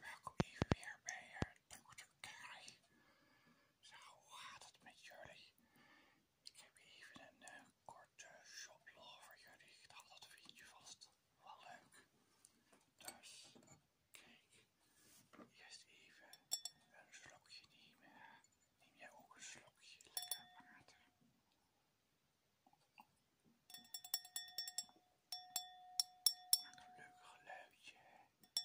Welkom hier weer bij uh, dokter Zo, hoe gaat het met jullie? Ik heb even een korte shoplog voor jullie. Ik dacht dat vind je vast wel leuk. Dus kijk, eerst even een slokje nemen. Neem jij ook een slokje lekker water? een leuk geluidje. Zo begin ik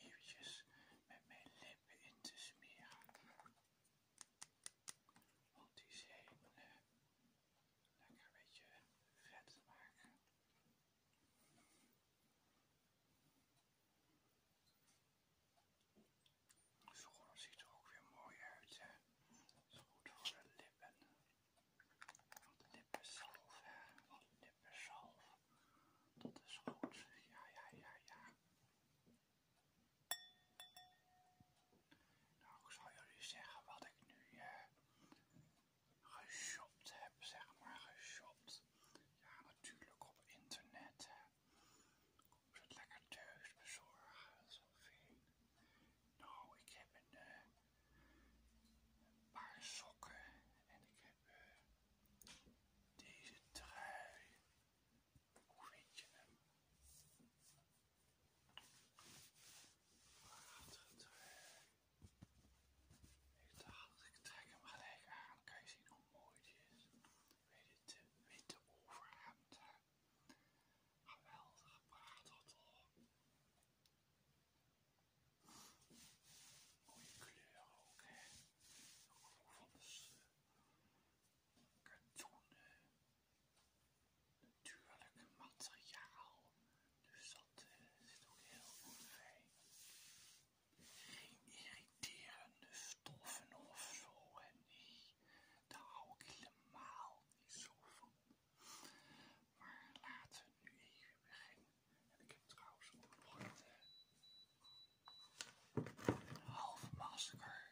eventjes met mijn lippen in te smeren. Want die eh, lekker een beetje vet maken. Schoon ziet er ook weer mooi uit. Dat is goed voor de lippen. de lippensalf, hè? Want Dat is goed. Ja, ja, ja, ja. Nou, ik zal jullie zeggen wat ik nu eh, geshopt heb, zeg maar geshopt. Ja, natuurlijk op internet. Ik ze het lekker thuis bezorgen, dat fijn. Nou, ik heb eh, een, paar sokken en ik heb eh, deze trui. Hoe vind je hem? Water Ik dacht, ik trek hem gelijk aan. Kan je zien hoe mooi die is? Weet je, de witte overhemd. Geweldige praattel. Mooie kleuren ook, hè? Ook van de kartonnen eh, natuurlijk materiaal, dus dat eh, zit ook heel goed fijn Geen irriterende stoffen of zo, en nee, daar hou ik helemaal niet zo van. Maar laten we nu even beginnen. En ik heb trouwens ook nog een eh, Half masker.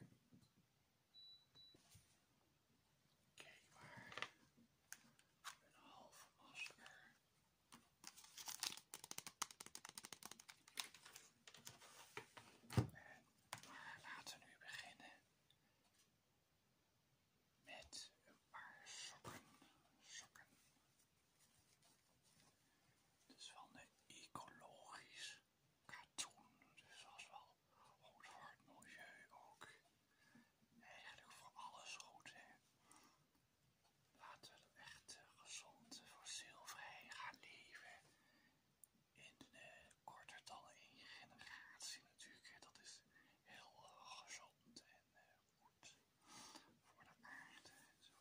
Kijk maar. Een half masker. laten we nu beginnen met een paar sokken. Sokken. Het is wel een ecologisch katoen, dus dat is wel goed voor het milieu ook. Eigenlijk voor alles goed, hè. Laten we echt eh, gezond, voor fossielvrij gaan leven. In de eh, korter in één generatie natuurlijk, dat is heel eh, gezond en goed voor de aarde en zo.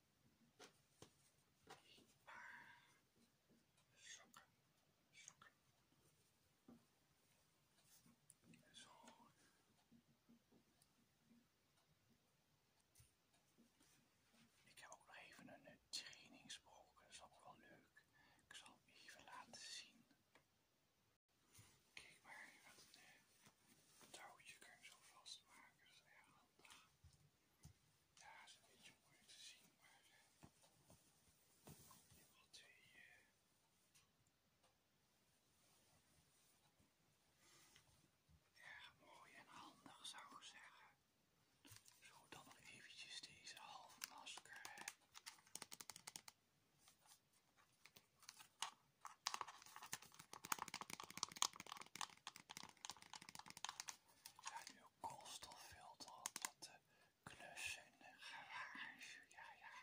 Sokken. Sokken. Zo. Ik heb ook nog even een eh, trainingsbroek. Dat is ook wel leuk. Ik zal hem even laten zien. Kijk maar, wat een eh, touwtje kun je zo vastmaken. Dat is erg daar is een beetje mooi te zien maar wel twee eh, mooi en handig zou ik zeggen zo dan even deze half masker ja, nu een koolstoffilter op dat in de garage. Ja, ja.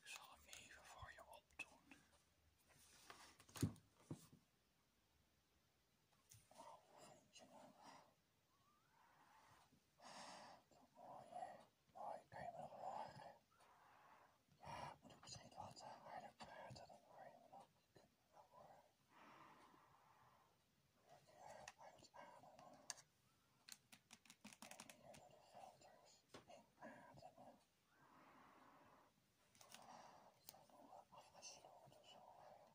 Ik zal hem even voor je opdoen. Hoi, kan je me nog horen? Ja, moet ik misschien wat de praten, dan hoor je me nog. en je me nog horen? Word je uit ademen. hier de filters inademen. Dat zo. Dus uh, dat is al natuurlijk.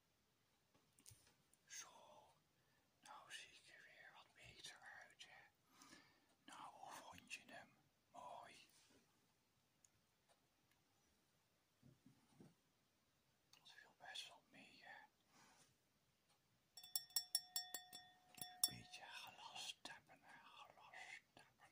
Zo, nou zie ik er weer wat beter uit, hè. Nou, hoe vond je hem? Mooi. Dat viel best wel mee, hè. Een beetje glas tappen, hè. Glas tappen.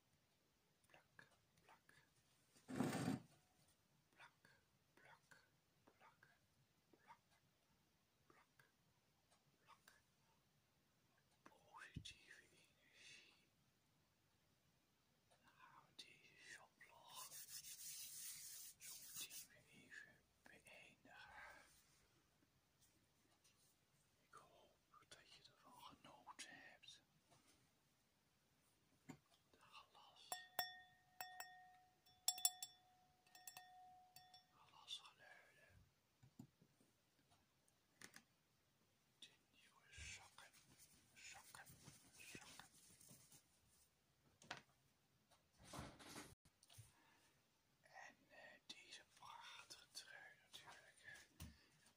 Blak, blak, blak, blak, blak, plak, plak, blak, positieve energie. Dan gaan we deze beëindigen. Ik hoop dat je ervan genoten hebt. De glas. Glasgeluiden. De nieuwe zakken. Zakken. Zakken. En eh, deze prachtige trui natuurlijk.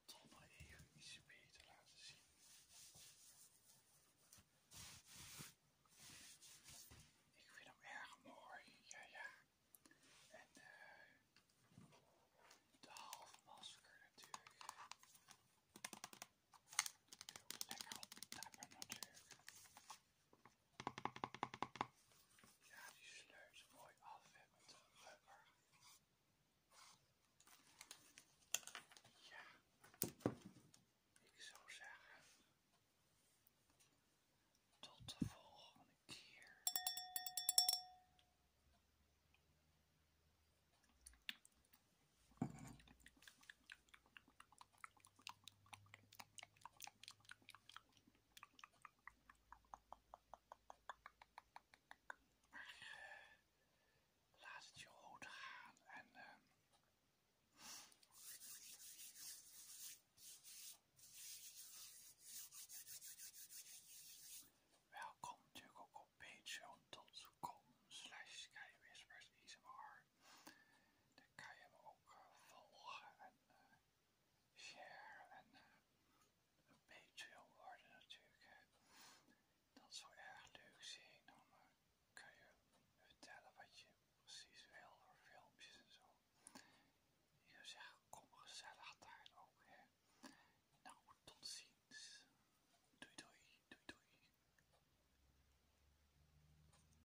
Ik zal nog even iets beter laten zien. Ik vind hem erg mooi, ja ja. En eh, de halfmasker natuurlijk. Lekker op natuurlijk. Ja, die sleurt mooi af hè, met de rubber. Ja, ik zou zeggen, tot de volgende keer. Laat het je goed gaan en eh, welkom natuurlijk ook op patreon.com slash Dan kan je me ook eh, volgen en eh, share en een Patreon worden natuurlijk. Dat zou erg leuk zijn. Dan eh, kan je vertellen wat je precies wil voor filmpjes en zo. Ik zou zeggen, kom gezellig daar ook. Hè. Nou, tot ziens. Doei doei, doei doei.